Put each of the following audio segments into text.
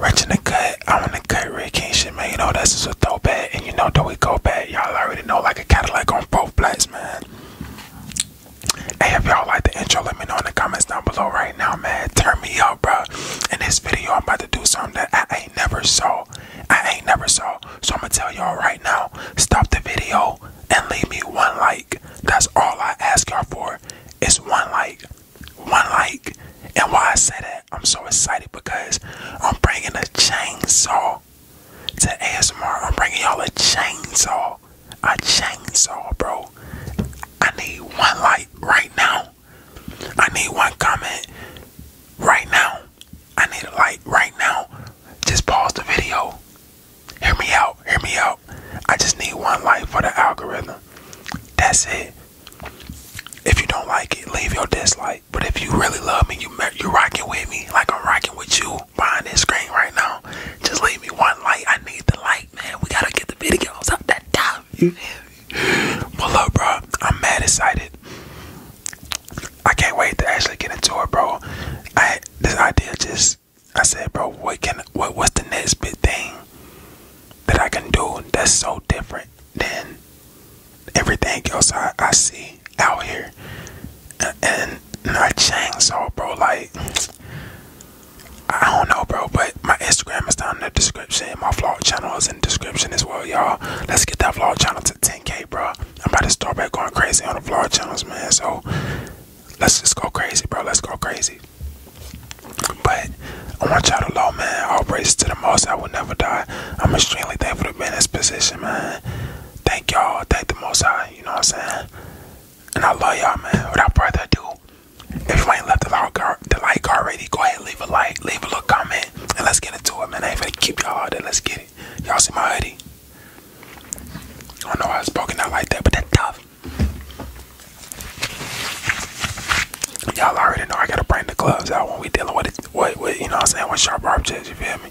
Rich in the cut, I wanna cut Rick King shit, man. You know that's just a throwback, and you know that we go back. Y'all already know like a Cadillac on both flats, man. Hey, if y'all like the intro, let me know in the comments down below right now, man. Turn me up, bro. In this video, I'm about to do something that I ain't never saw. I ain't never saw. So I'm gonna tell y'all right now. Stop the video and leave me one like. That's all I ask y'all for It's one like. One like. And why I say that, I'm so excited because I'm bringing a chainsaw to ASMR. I'm bringing y'all a chainsaw. A chainsaw, bro. I need one like right now. I need one comment right now. I need a like right now. Just pause the video. Hear me out. Hear me out. I just need one like for the algorithm. That's it. If you don't like it, leave your dislike. But if you really love me, you you rocking with me like I'm rocking with you behind this screen right now. Just leave me one like. I need the like, man. We gotta get the videos up that time. You hear bro. I'm mad excited. I can't wait to actually get into it, bro. I this idea just I said, bro, what can what what's the next big thing that I can do that's so different than everything else I, I see out here? And, and I chainsaw, bro. Like I don't know, bro, but my Instagram is down in the description. My vlog channel is in the description as well, y'all. Let's get that vlog channel to 10k, bro. I'm about to start back going crazy on the vlog channels, man. So let's just go crazy, bro. Let's go crazy. But I want y'all to know, man. will praise to the most. I will never die. I'm extremely thankful to be in this position, man. Thank y'all. Thank the most high. You know what I'm saying? And I love y'all, man. Without further ado, if you ain't left the like, like already, go ahead leave a like, leave a little comment, and let's get into it, man. I ain't gonna keep y'all out there. Let's get it. Y'all see my hoodie? I know I was spoken out like that, but that's tough. Y'all already know I gotta bring the gloves out when we dealing with it. What, what you know what I'm saying? With sharp objects, you feel me?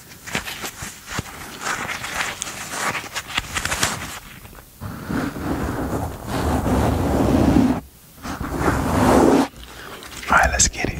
All right, let's get it.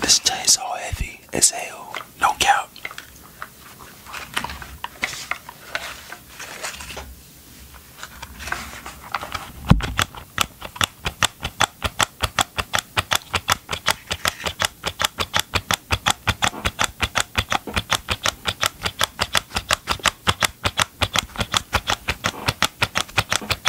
This day is all heavy as hell. No cap.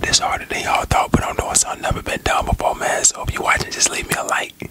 This harder than y'all thought, but I'm doing something never been done before, man. So if you are watching, just leave me a like.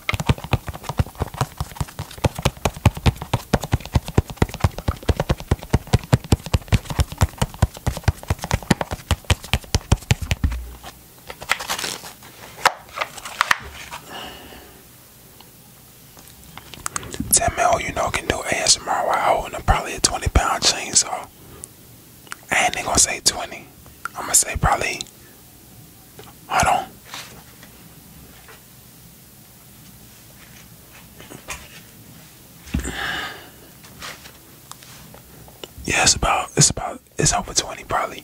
Ten mil, you know, can do ASMR while holding a, probably a 20 pound chainsaw. I ain't gonna say 20. I'm gonna say probably Hold on. Yeah, it's about it's about it's over twenty probably.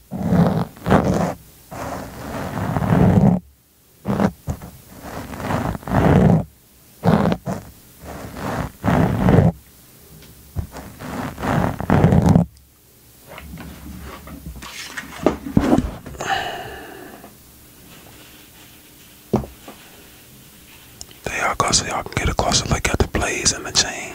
There y'all go so y'all can get a closer look at the blaze and the chain.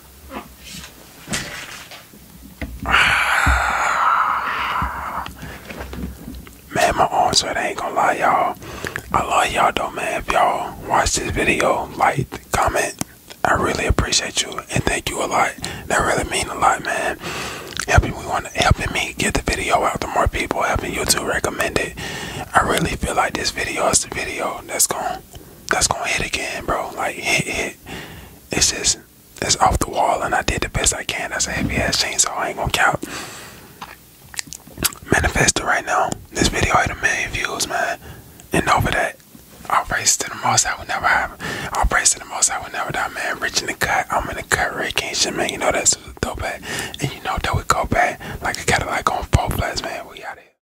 Man, my arms I ain't gonna lie, y'all. I love y'all though, man. If y'all watch this video, like, comment. I really appreciate you and thank you a lot. That really mean a lot, man. Helping we helping me get the video out to more people, helping you to recommend it. I really feel like this video is the video that's gonna that's gonna hit again, bro. Like hit, hit. It's just it's off the wall, and I did the best I can. That's a heavy ass chainsaw. So I ain't gonna count. Manifest it right now. This video hit a million views, man. And over that, I'll praise to the most I would never have. I'll praise to the most I would never die, man. Rich in the cut. I'm in the cut. Red King shit, man. You know that's dope, at. And you know that we go back like a Cadillac on four flats, man. We out here.